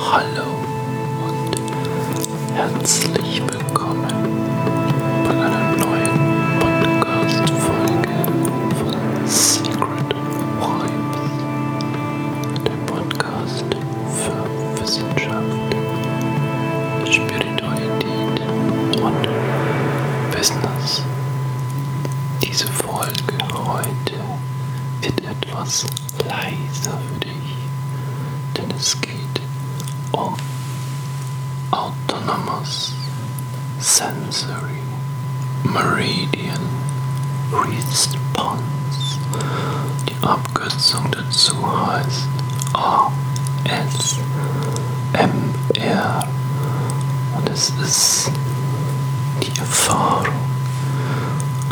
Hallo und herzlich willkommen bei einer neuen Podcast-Folge von Secret Vibes, der Podcast für Wissenschaft, Spiritualität und Business. Diese Folge heute wird etwas leiser würde ich, denn es Autonomous Sensory Meridian Response. Die Abkürzung dazu heißt ASMR und es ist die Erfahrung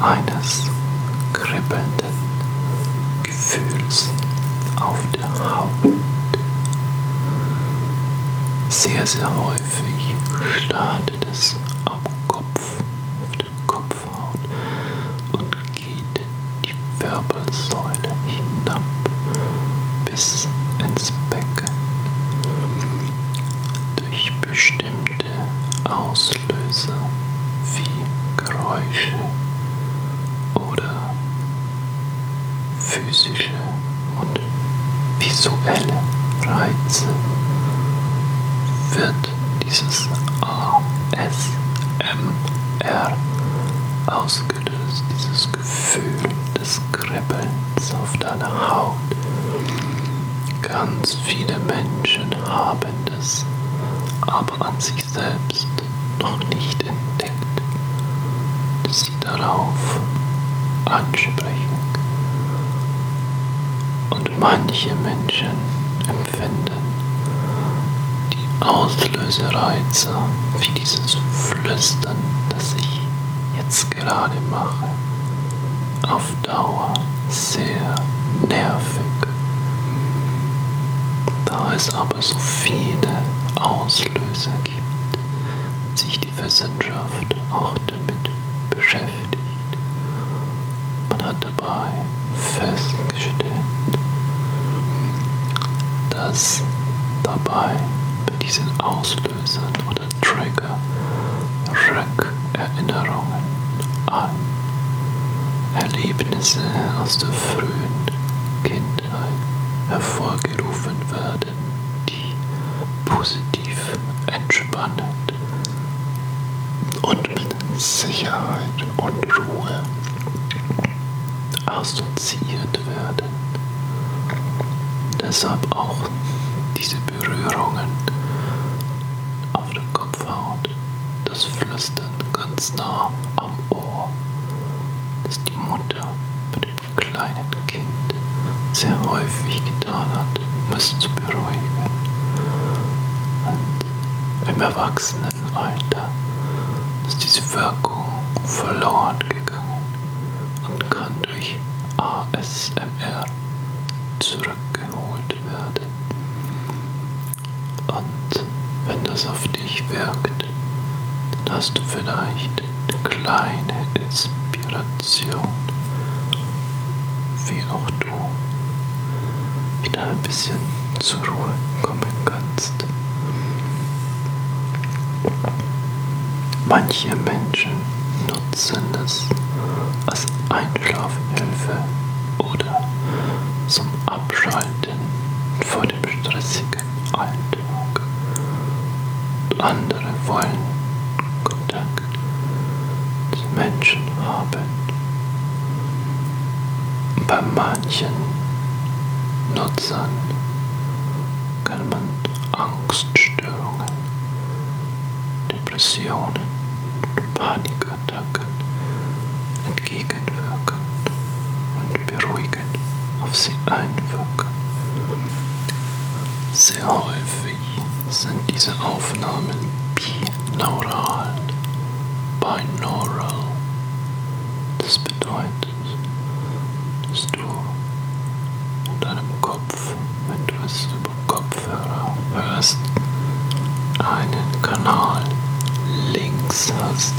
eines kribbelnden Gefühls auf der Haut. Sehr, sehr häufig startet es am Kopf, auf der Kopfhaut und geht die Wirbelsäule hinab bis ins Becken durch bestimmte Auslöser wie Geräusche oder physische und visuelle Reize wird dieses ASMR ausgelöst, dieses Gefühl des Kribbelns auf deiner Haut. Ganz viele Menschen haben es aber an sich selbst noch nicht entdeckt, dass sie darauf ansprechen. Und manche Menschen empfinden die Auslösereize wie dieses Flüstern, das ich jetzt gerade mache, auf Dauer sehr nervig. Da es aber so viele Auslöser gibt, sich die Wissenschaft auch damit beschäftigt. Man hat dabei festgestellt, dass dabei bei diesen Auslösern oder Triggern Rückerinnerungen an Erlebnisse aus der frühen Kindheit hervorgerufen werden, die positiv, entspannend und mit Sicherheit und Ruhe assoziiert werden. Deshalb auch diese Berührungen auf dem Kopfhaut, das Flüstern ganz nah am Ohr, das die Mutter bei dem kleinen Kind sehr häufig getan hat, um es zu beruhigen. Und im Erwachsenenalter ist diese Wirkung verloren gegangen und kann durch ASMR zurück Schrank geholt werden. Und wenn das auf dich wirkt, dann hast du vielleicht eine kleine Inspiration, wie auch du wieder ein bisschen zur Ruhe kommen kannst. Manche Menschen benutzen es als Einschlafhilfe oder zum Abschalten vor dem stressigen Alltag. Andere wollen Kontakt zu Menschen haben. Bei manchen Nutzern kann man Angst Angststörungen, Depressionen, Panikattacken entgegenwirken und beruhigend auf sie einwirken. Sehr häufig sind diese Aufnahmen binaural, binaural. Das bedeutet, dass du in deinem Kopf Kopf, wenn du es über Kopfhörer hörst, einen Kanal links hast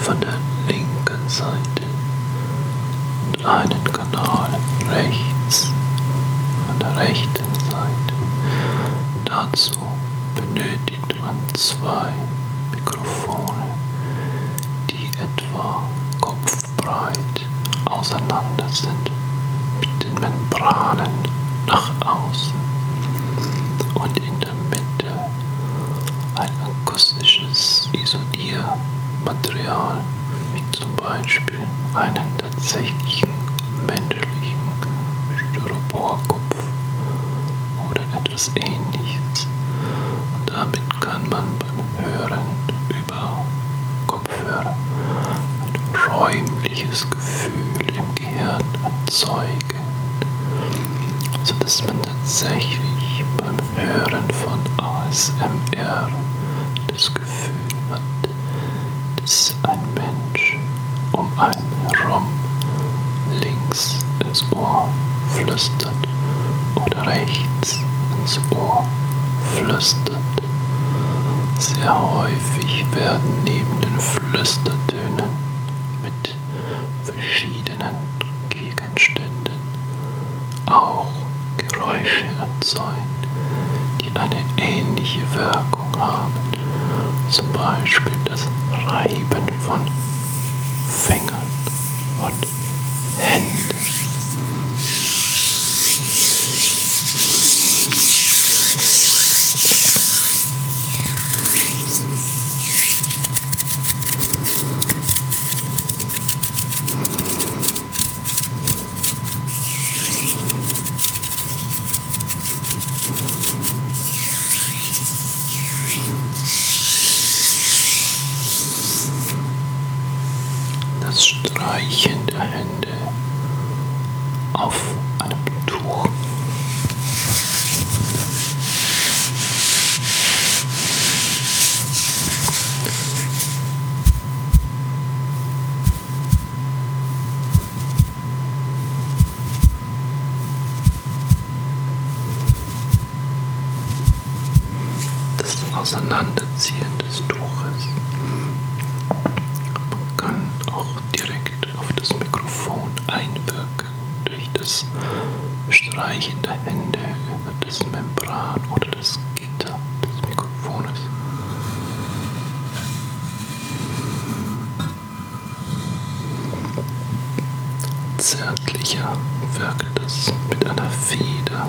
von der linken Seite und einen Kanal rechts von der rechten Seite. Dazu benötigt man zwei Mikrofone, die etwa Kopf breit auseinander sind mit den Membranen nach außen und in der Mitte ein akustisches Isoliermaterial, wie zum Beispiel einen tatsächlichen menschlichen Styroporkopf oder etwas ähnliches. Und damit kann man beim Hören Kopfhörer, Kopfhörer ein räumliches Gefühl im Gehirn erzeugen, sodass man tatsächlich beim Hören von ASMR das Gefühl hat, dass ein Mensch um einen herum links ins Ohr flüstert oder rechts ins Ohr flüstert. Sehr häufig werden neben den Flüstertönen mit verschiedenen Gegenständen auch Geräusche erzeugt, die eine ähnliche Wirkung haben, zum Beispiel das Reiben von Fingern und Händen. Das Streichen der Hände. Hände auf einem Tuch. Das Auseinanderziehen des Tuches. Man kann auch direkt auf das Mikrofon einwirken durch das Streichen der Hände über das Membran oder das Gitter des Mikrofones. Zärtlicher wirkt es mit einer Feder.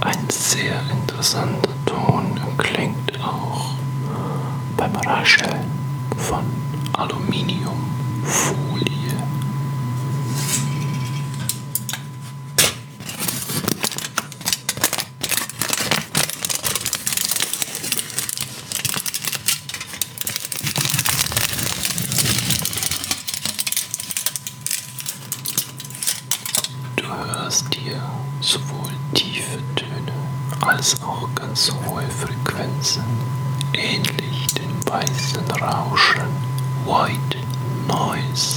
Ein sehr interessanter Ton klingt auch beim Rascheln von Aluminiumfolie. Du hörst hier sowohl tiefe Töne als auch ganz hohe Frequenzen, ähnlich dem weißen Rauschen, White Noise.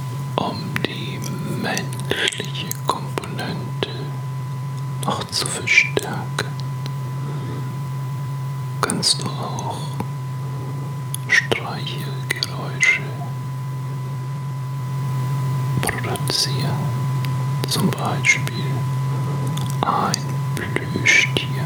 um die menschliche Komponente noch zu verstärken, kannst du auch Streichelgeräusche produzieren, zum Beispiel ein Plüschtier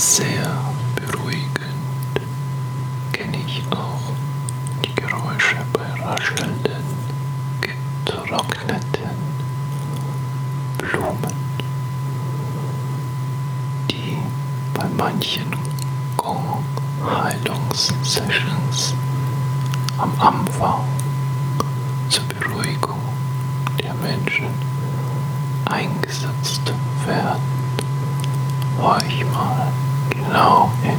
Sehr beruhigend kenne ich auch die Geräusche bei raschelnden Gittern vertrockneten Blumen, die bei manchen Gong-Heilungssessions am Anfang zur Beruhigung der Menschen eingesetzt werden. Horch mal genau hin.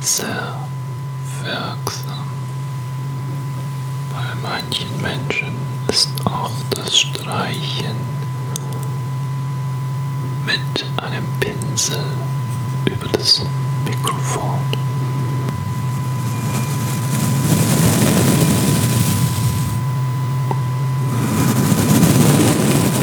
sehr wirksam. Bei manchen Menschen ist auch das Streichen mit einem Pinsel über das Mikrofon.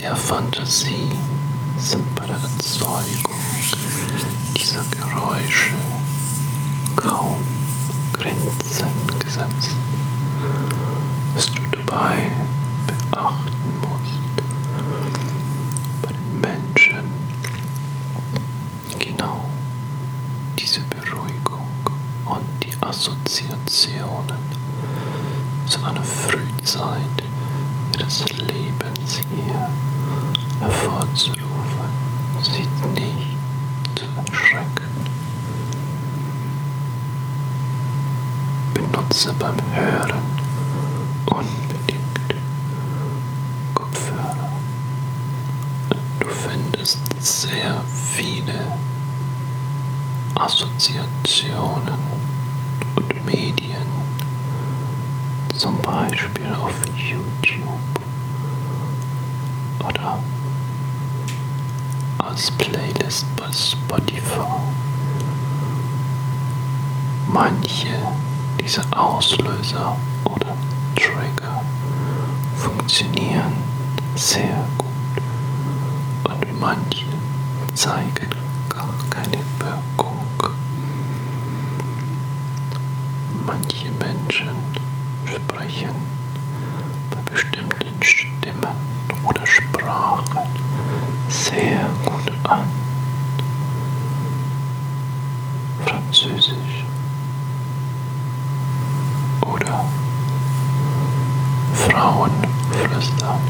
der Fantasie sind bei der Erzeugung dieser Geräusche kaum Grenzen gesetzt, was du dabei beachten musst. Bei den Menschen genau diese Be Beruhigung und die Assoziationen zu einer Frühzeit ihres Lebens hier hervorzurufen, sie nicht zu erschrecken. Benutze beim Hören unbedingt Kopfhörer. Du findest gibt es sehr viele Assoziationen und Medien, zum Beispiel auf YouTube oder als Playlist bei Spotify. Manche dieser Auslöser oder Trigger funktionieren sehr gut und manche zeigen gar keine Wirkung. Manche Menschen sprechen bei bestimmten Stimmen oder Sprachen sehr gut an. Französisch oder Frauen flüstern,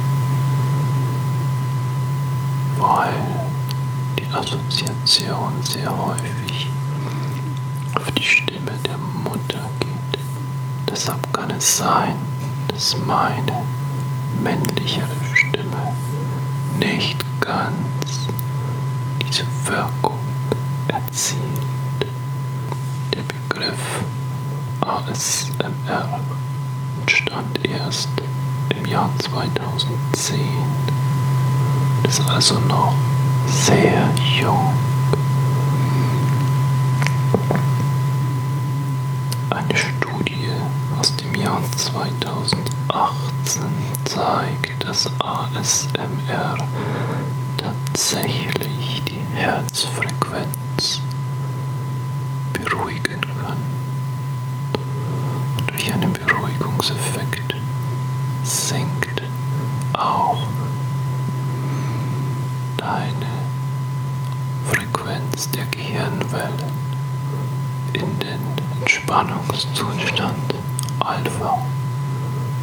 weil die Assoziation sehr häufig auf die Stimme der Mutter geht. Deshalb kann es sein, dass meine männlichere Stimme nicht ganz diese Wirkung erzielt zieht der Begriff ASMR entstand erst im Jahr 2010, ist also noch sehr jung. Eine Studie aus dem Jahr 2018 zeigt, dass ASMR tatsächlich die Herzfrequenz beruhigen kann und durch einen Beruhigungseffekt sinkt auch deine Frequenz der Gehirnwellen in den Entspannungszustand Alpha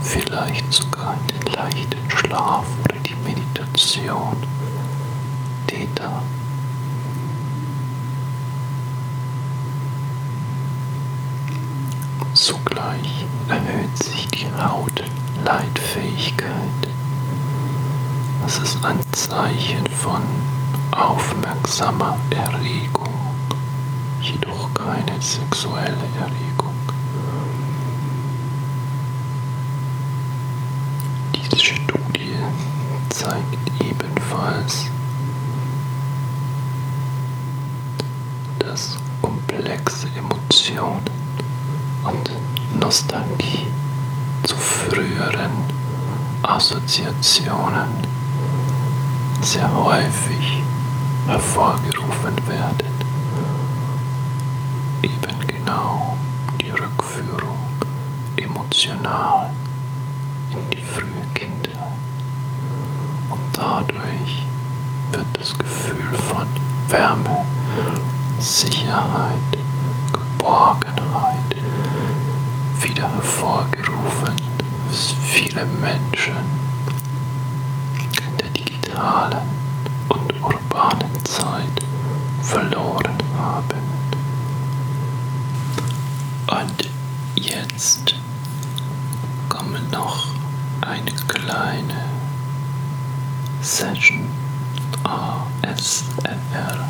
vielleicht sogar Yoga, in den leichten Schlaf oder die Meditation. Theta. Zugleich erhöht sich die Hautleitfähigkeit. Das ist ein Zeichen von aufmerksamer Erregung, jedoch keine sexuelle Erregung. Diese Studie zeigt ebenfalls, dass komplexe Emotionen und Nostalgie zu früheren Assoziationen sehr häufig hervorgerufen werden eben genau die Rückführung emotional in die frühe Kindheit. Und dadurch wird das Gefühl von Wärme, Sicherheit, Geborgenheit wieder hervorgerufen, was viele Menschen in der digitalen feudalen und urbanen Zeit verloren haben. Und jetzt kommt noch eine kleine Session ASMR.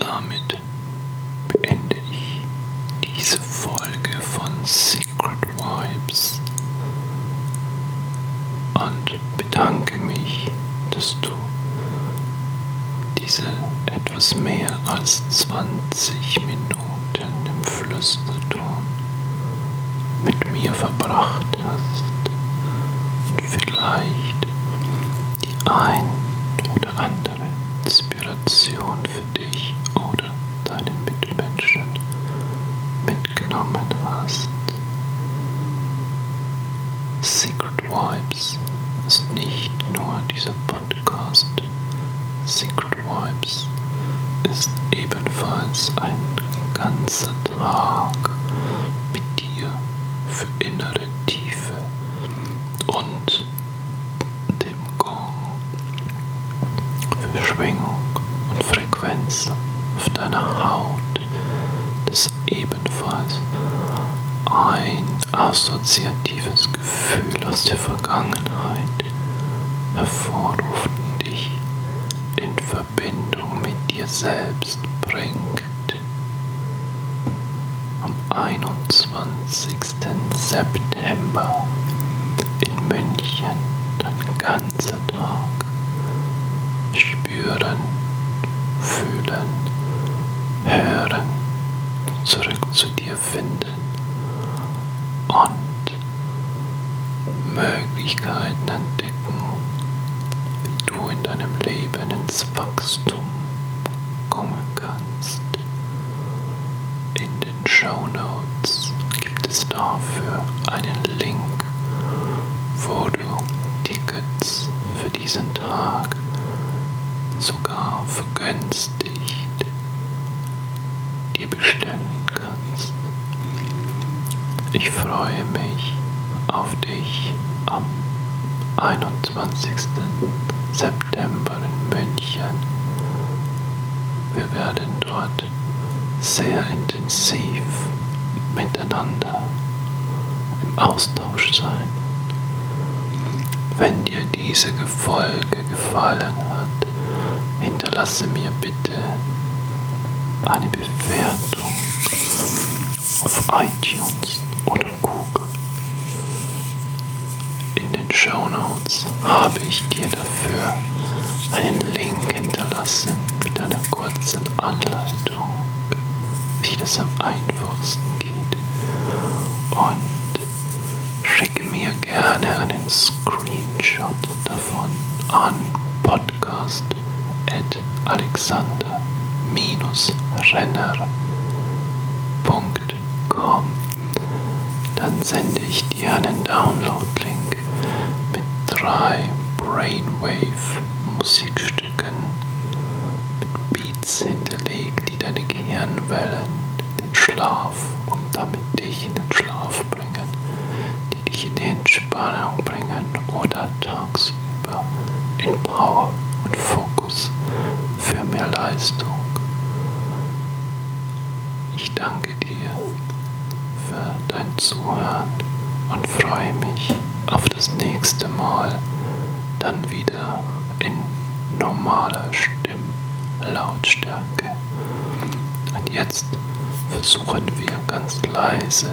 Damit beende ich diese Folge von Secret Vibes und bedanke mich, dass du diese etwas mehr als 20 Minuten im Flüsterton mit mir verbracht hast vielleicht die ein oder andere Inspiration für dich oder deinen Mitmenschen mitgenommen hast. Secret Vibes ist nicht nur dieser Podcast. Secret Vibes ist ebenfalls ein ganzer Tag mit dir für innere Tiefe und dem Gong für Schwingung und Frequenz auf deiner Haut, das ebenfalls ein assoziatives Gefühl aus der Vergangenheit hervorruft und dich in Verbindung mit dir selbst bringt. Abend am 21. September in München den ganzen Tag spüren, fühlen, hören, zurück zu dir finden und Möglichkeiten entdecken, du in deinem Leben ins Wachstum kommen kannst. In den Show Notes gibt es dafür einen Link, wo du Tickets für diesen Tag sogar vergünstigt dir bestellen kannst. Ich freue mich auf ich am 21. September in München. Wir werden dort sehr intensiv miteinander im Austausch sein. Wenn dir diese Folge gefallen hat, hinterlasse mir bitte eine Bewertung auf iTunes oder Google. In den Show Notes habe ich dir dafür einen Link hinterlassen mit einer kurzen Anleitung, wie das am einfachsten geht. Und schicke mir gerne einen Screenshot davon an Podcast podcast at alexander-renner.com. Dann sende ich dir einen Download-Link mit drei Brainwave-Musikstücken mit Beats hinterlegt, die deine Gehirnwellen, den Schlaf und damit dich in den Schlaf bringen, die dich in den Entspannung bringen oder tagsüber in Power und Fokus für mehr Leistung. Ich danke dir für dein Zuhören und freue mich auf das nächste Mal dann wieder in normaler Stimmlautstärke. Und jetzt versuchen wir ganz leise